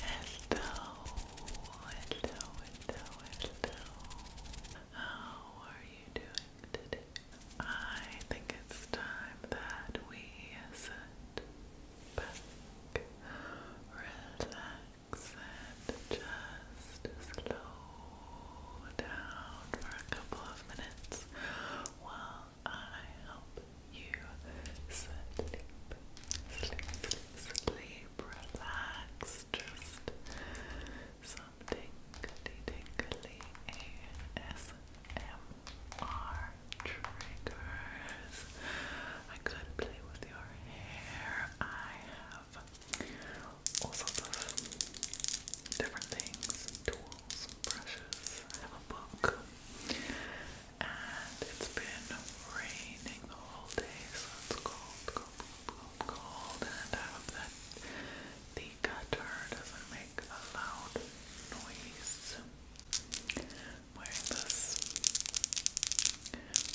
Hello, hello, hello, hello. How are you doing today? I think it's time that we sit back, relax, and just slow down for a couple of minutes while I help you sleep, sleep, sleep, relax, just something tingly, tingly ASMR triggers. I could play with your hair. I have all sorts of different things, tools, brushes. I have a book and it's been raining the whole day, so it's cold, cold, cold, cold, and I hope that the gutter doesn't make a loud noise. I'm wearing this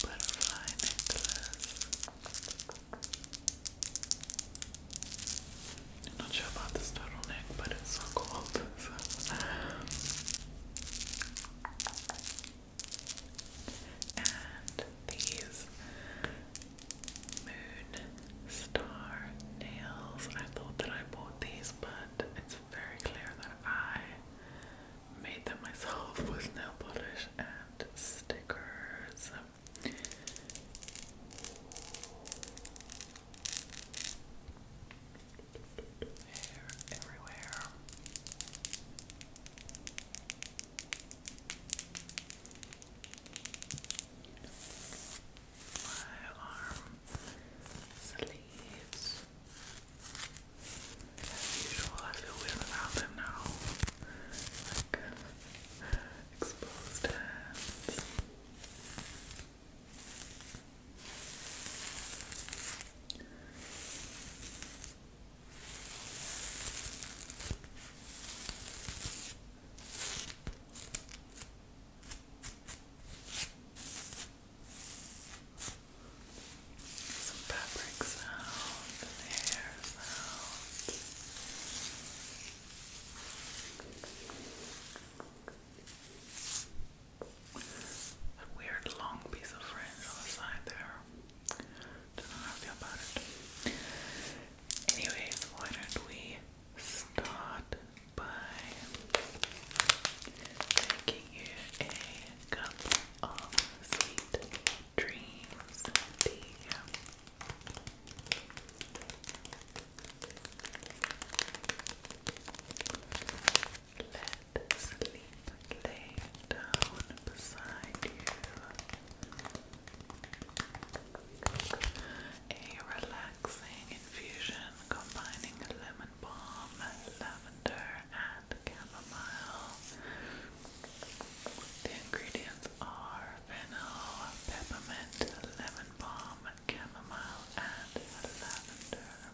butterfly necklace. I'm not sure about this turtleneck, but it's so cold. And these moon star nails. I thought that I bought these, but it's very clear that I made them myself with nail polish and stickers. Hair everywhere. My arm sleeves. As usual, I feel weird about them now. Like exposed some fabric sound and hair sound. Good. A weird long piece of fringe on the side there. Don't know how about it. Anyways, why don't we start by making you a cup of sweet dreams tea? Let sleep lay down beside you. A relaxing infusion combining lemon balm, lavender, and chamomile. The ingredients are fennel, peppermint, lemon balm, chamomile, and lavender.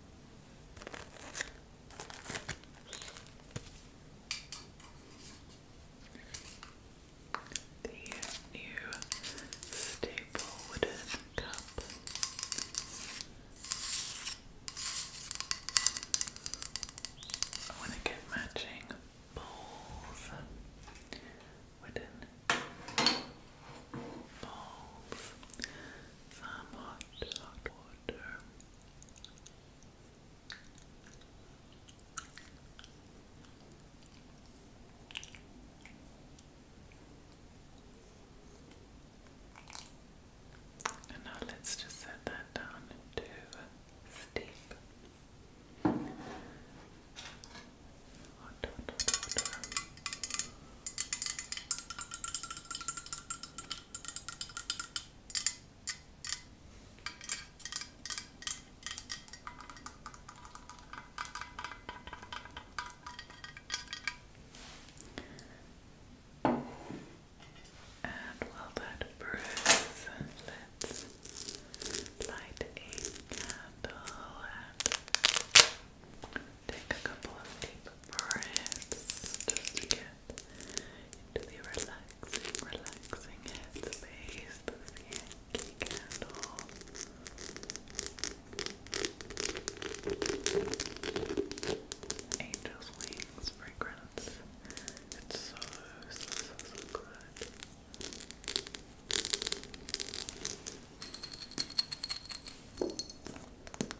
The new staple wooden cup. I want to get matching bowls. Wooden bowls some hot, hot water. And now let's just set that down to steep. Hot, hot, hot water. And while that brews, light a candle Take a couple of deep breaths to get into the relaxing, relaxing headspace the Yankee candle. Angel's Wings fragrance. It's so, Good. Oh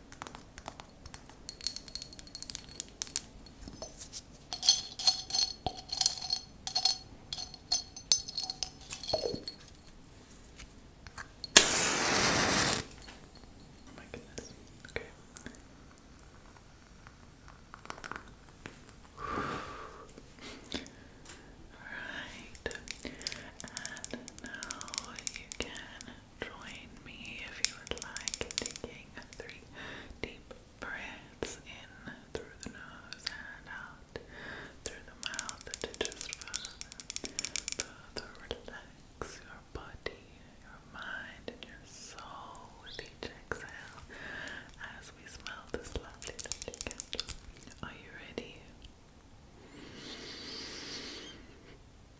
my goodness. Okay. Alright. And now you can Join me if you would like taking three deep breaths in through the nose and out through the mouth to just further relax your body, your mind, and your soul with each exhale as we smell this lovely, lovely Are you ready? and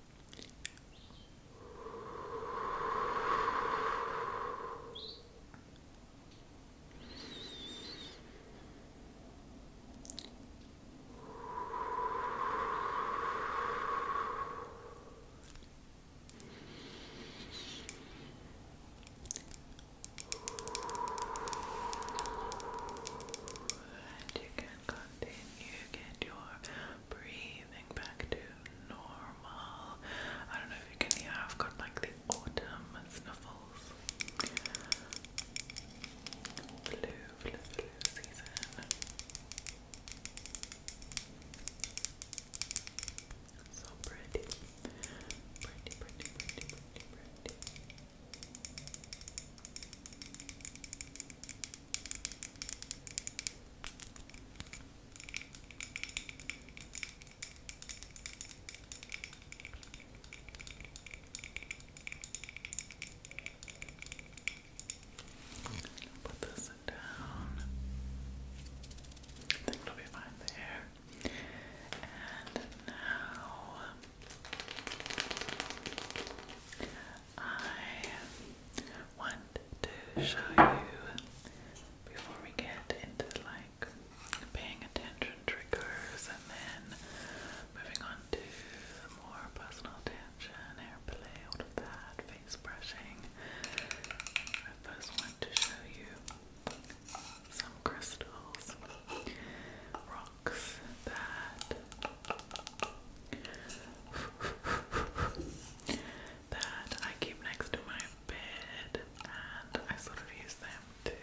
you can go continue. Get your breathing back to normal. I don't know if you can hear, I've got like the autumn snuffles. Blue, blue, blue season. So pretty. Pretty, pretty, pretty, pretty, Put this down. I think it'll be fine there. And now I want to show you before we get into like paying attention triggers and then moving on to more personal attention, hair play, all of that, face brushing. I first want to show you some crystals that that I keep next to my bed and I sort of use them to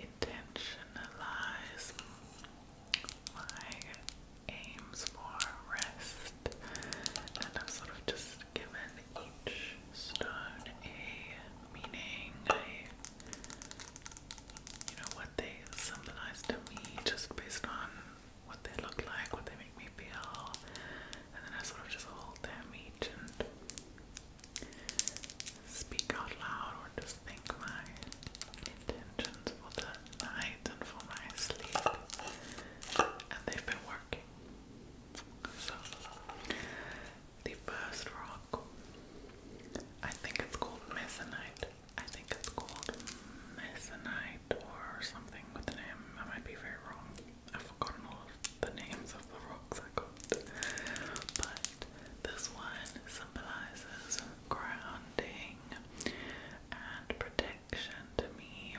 intentionalize my aims for rest and I've sort of just given each stone a meaning, a you know, they symbolize to me just based on what they look like, what they make me feel, and then I sort of just hold them each and speak out loud or just think my intentions for the night and for my sleep. And they've been working. So, the first rock, I think it's called Mesonite. I think it's called Masonite or something with the name. I might be very wrong. I've forgotten all the names of the rocks I got. But this one symbolizes grounding and protection to me.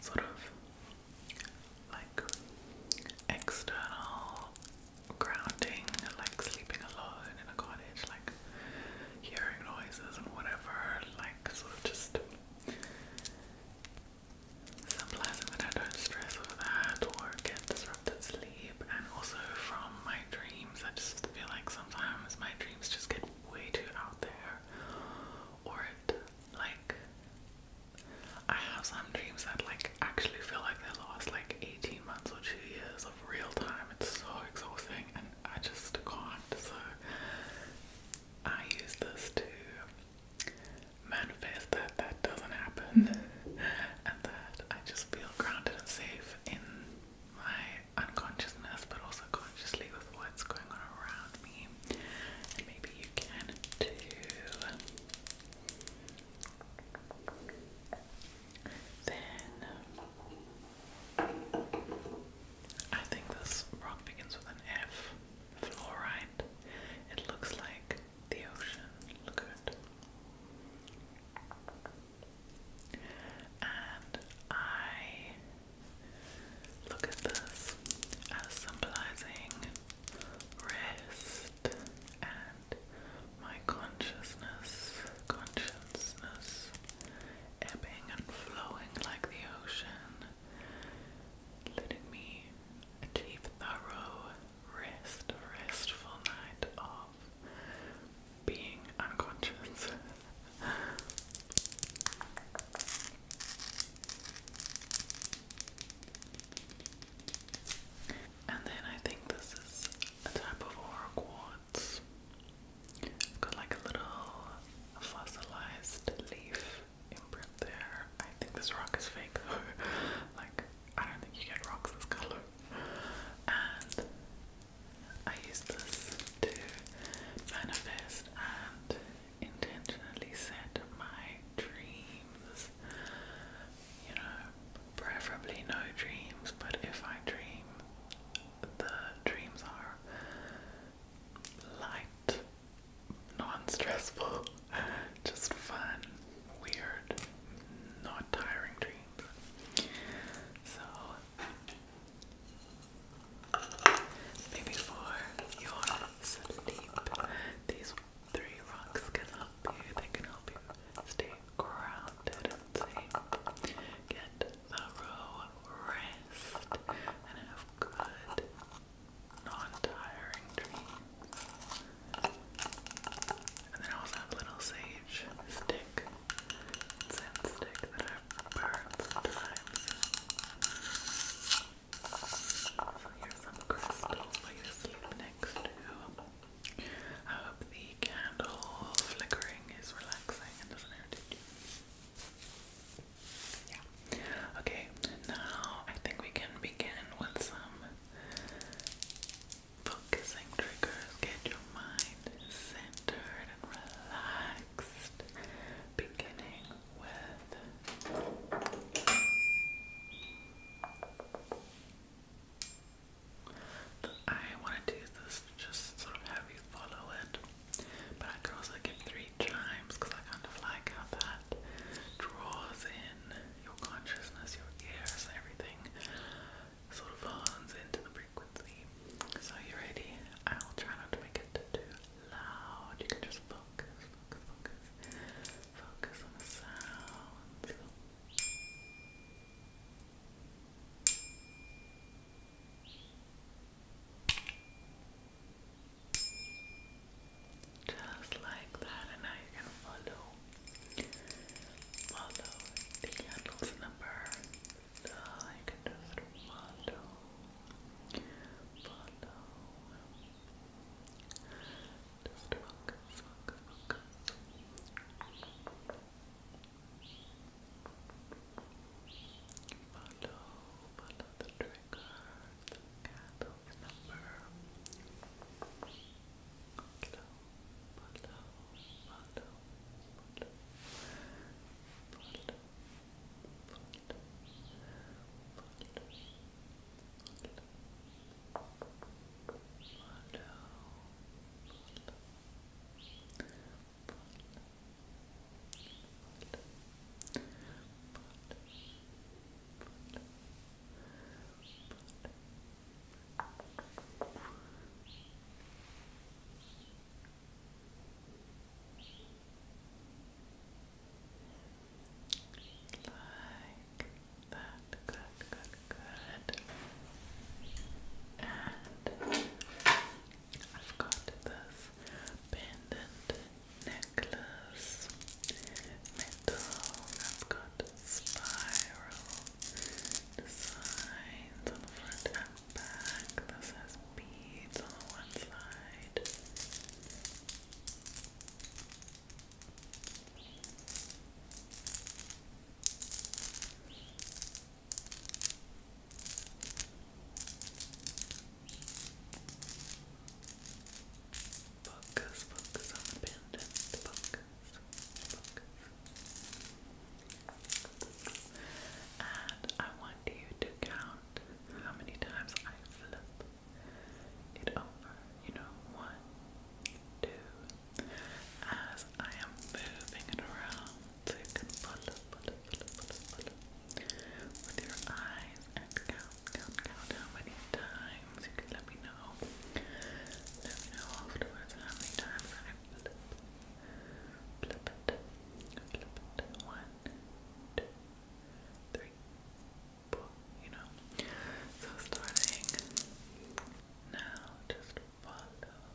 Sort of like external grounding, like sleeping alone in a cottage, like hearing noises and whatever, like sort of just symbolizing that I don't stress over that or get disrupted sleep and also from my dreams I just feel like sometimes my dreams just get way too out there or it like I have some dreams that like actually feel like they lost like 18 months or two years of real time. It's so exhausting and I just can't. So I use this to manifest that that doesn't happen, and that I just feel grounded and safe in my unconsciousness, but also consciously with what's going on around me. And maybe you can too. Then um, I think this rock begins with an F. Fluorite. It looks like the ocean. Look at it. And I look at this as symbolizing rest and my consciousness, consciousness ebbing and flowing like the ocean, letting me achieve thorough rest, restful night of being unconscious. And then I think this is a type of aura quartz. Got like a little fossilized leaf imprint there. I think this rock is fake though. like, I don't think you get rocks this color. And I use this to manifest and intentionally set my dreams. You know, preferably no dreams, but if I dream, the dreams are light, non stressful, just fun, weird, not tiring dreams. So, maybe for your sleep, these three rocks can help you. They can help you stay grounded and get thorough rest and have good, non-tiring dreams. And then I also have a little sage stick, scent stick that I've sometimes. So here's some crystals for you to sleep next to. I hope the candle flickering is relaxing and doesn't irritate you. Okay, now I think we can begin with some focusing triggers. Get your mind centered and relaxed. Beginning with I wanted to use this just sort of have you follow it, but I could also give three chimes because I kind of like how that draws in your consciousness, your ears, everything sort of hones into the frequency. So, you ready? I'll try not to make it too loud. You can just focus, focus, focus on the sounds. Just like that, and now you can follow, follow the candle's number. So you can just follow, follow. Just focus, focus, Follow, follow the trigger, the number. follow, follow, follow, follow, follow, follow, follow, follow like that. Good, good, good. And I've got this pendant necklace, metal, I've got spiral designs on the front and back. This has beads on one side. Focus, focus the pendant. Focus, focus. And I want you to count how many times I flip it over. You know, one, two. As I am moving it around, Click and follow, follow, follow, follow, follow with your eyes and count, count, count how many times you can let me know. Let me know afterwards how many times I flip, flip it, flip it. One, two, three, four, you know. So starting now, just follow, follow,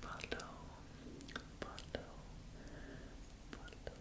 Follow, follow, follow,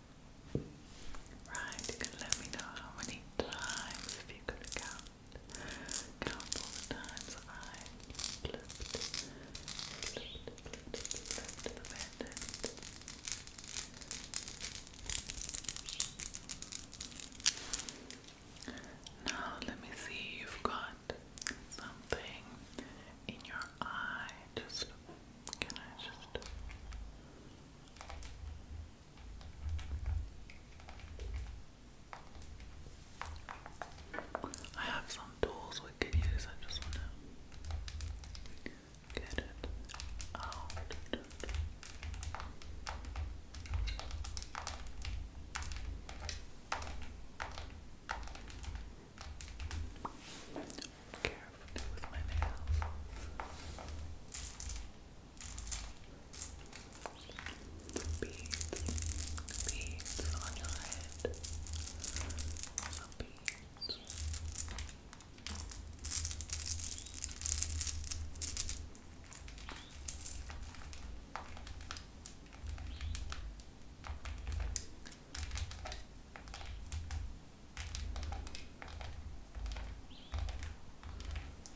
Right, you let me know how many times, you could count, count all times I flipped, flipped, flipped, flipped the bandit. Now let me see, you've got something in your eye. Just, can I just... I have some tools we could use, I just want to get it out. Carefully with my nails beads, beads on your head. Some beads.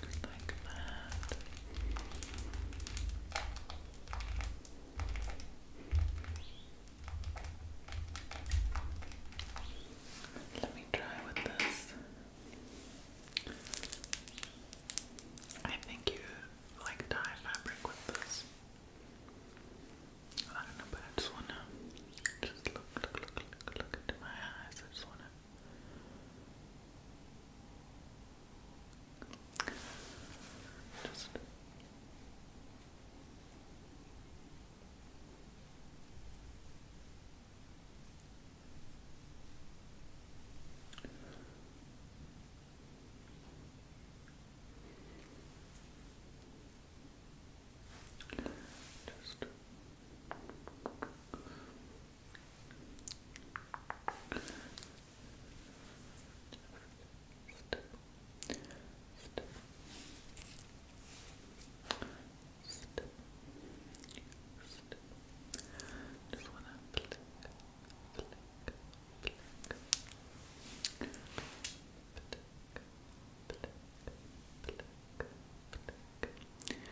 Just like that. Let me try with this. I think you like dye fabric with this. I don't know, but I just wanna just look, look, look, look, look into my eyes. I just wanna. Just just Step, step, step, step. Just wanna click, click, flick, flick, flick, flick, flick, flick. Blink,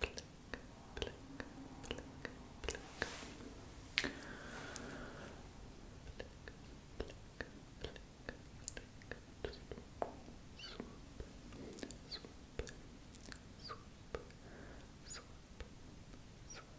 blink, blink, blink. Swoop, swoop, swoop, swoop, swoop, swoop,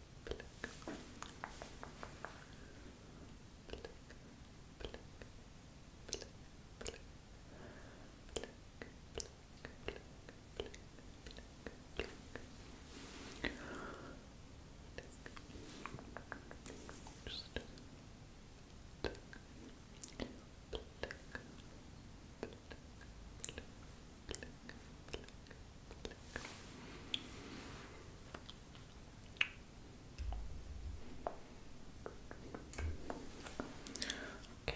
Pluck. Pluck. Pluck. Pluck. Pluck. Pluck. Pluck. Pluck. Pluck. Pluck. Just pluck. Pluck. Pluck. Pluck. Pluck. Pluck. Okay.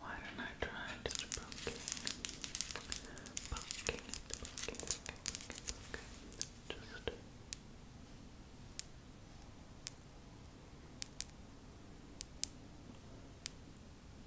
Why don't I try just poking? Poking, poking, Just.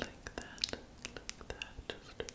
Like that, like that, just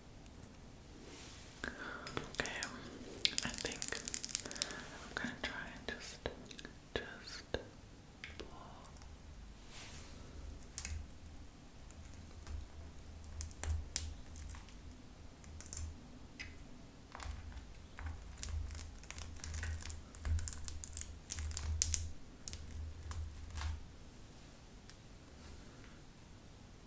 Okay, I think I'm gonna try and just, just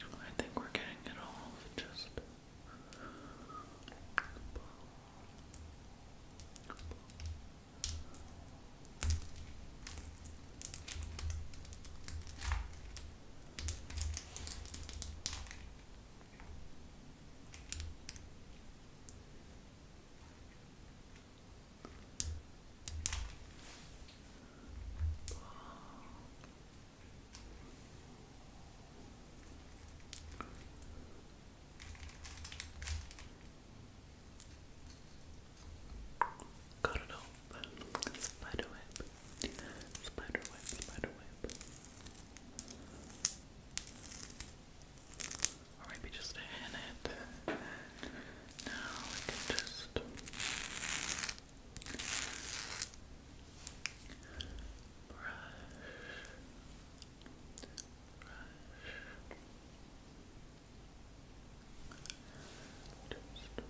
I think we're getting it all just Got it open. Spider web. Spider web, spider web. Or maybe just in it. Now we can just brush. Brush. Just.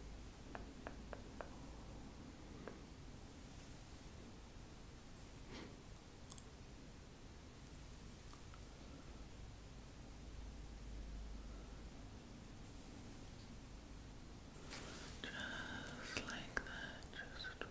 Just like that, just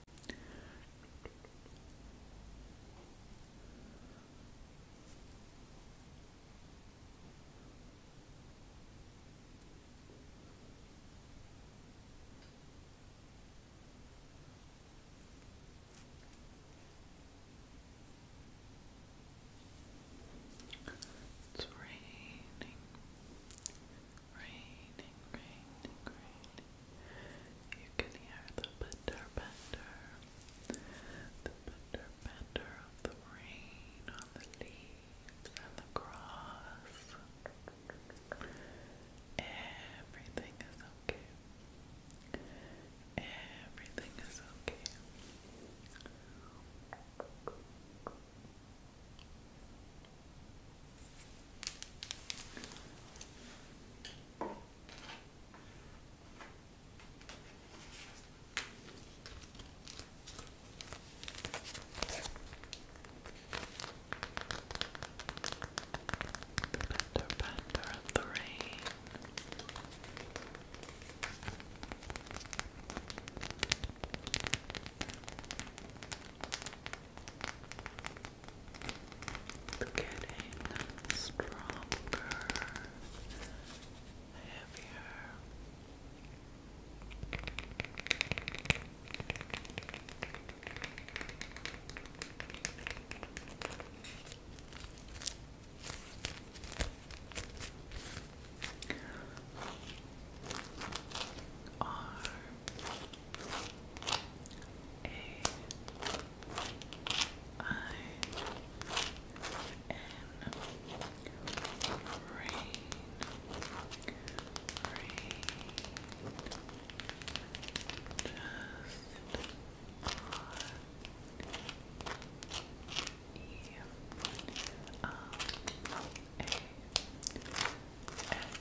It's raining raining, raining, raining. You can hear the pitter patter, the pitter patter of the rain on the leaves and the grass. Everything is okay. Everything is okay. The banter, of the rain getting stronger, heavier. Arms, a I N rain rain just R E L A X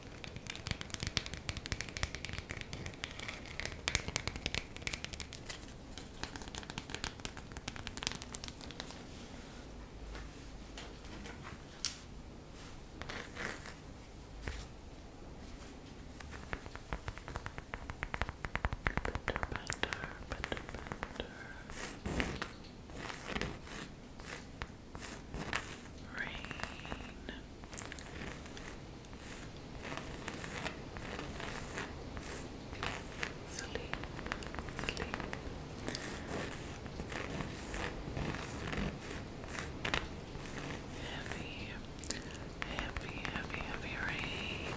Better, better, better. Rain. Sleep. Sleep. Heavy, heavy, heavy, heavy rain.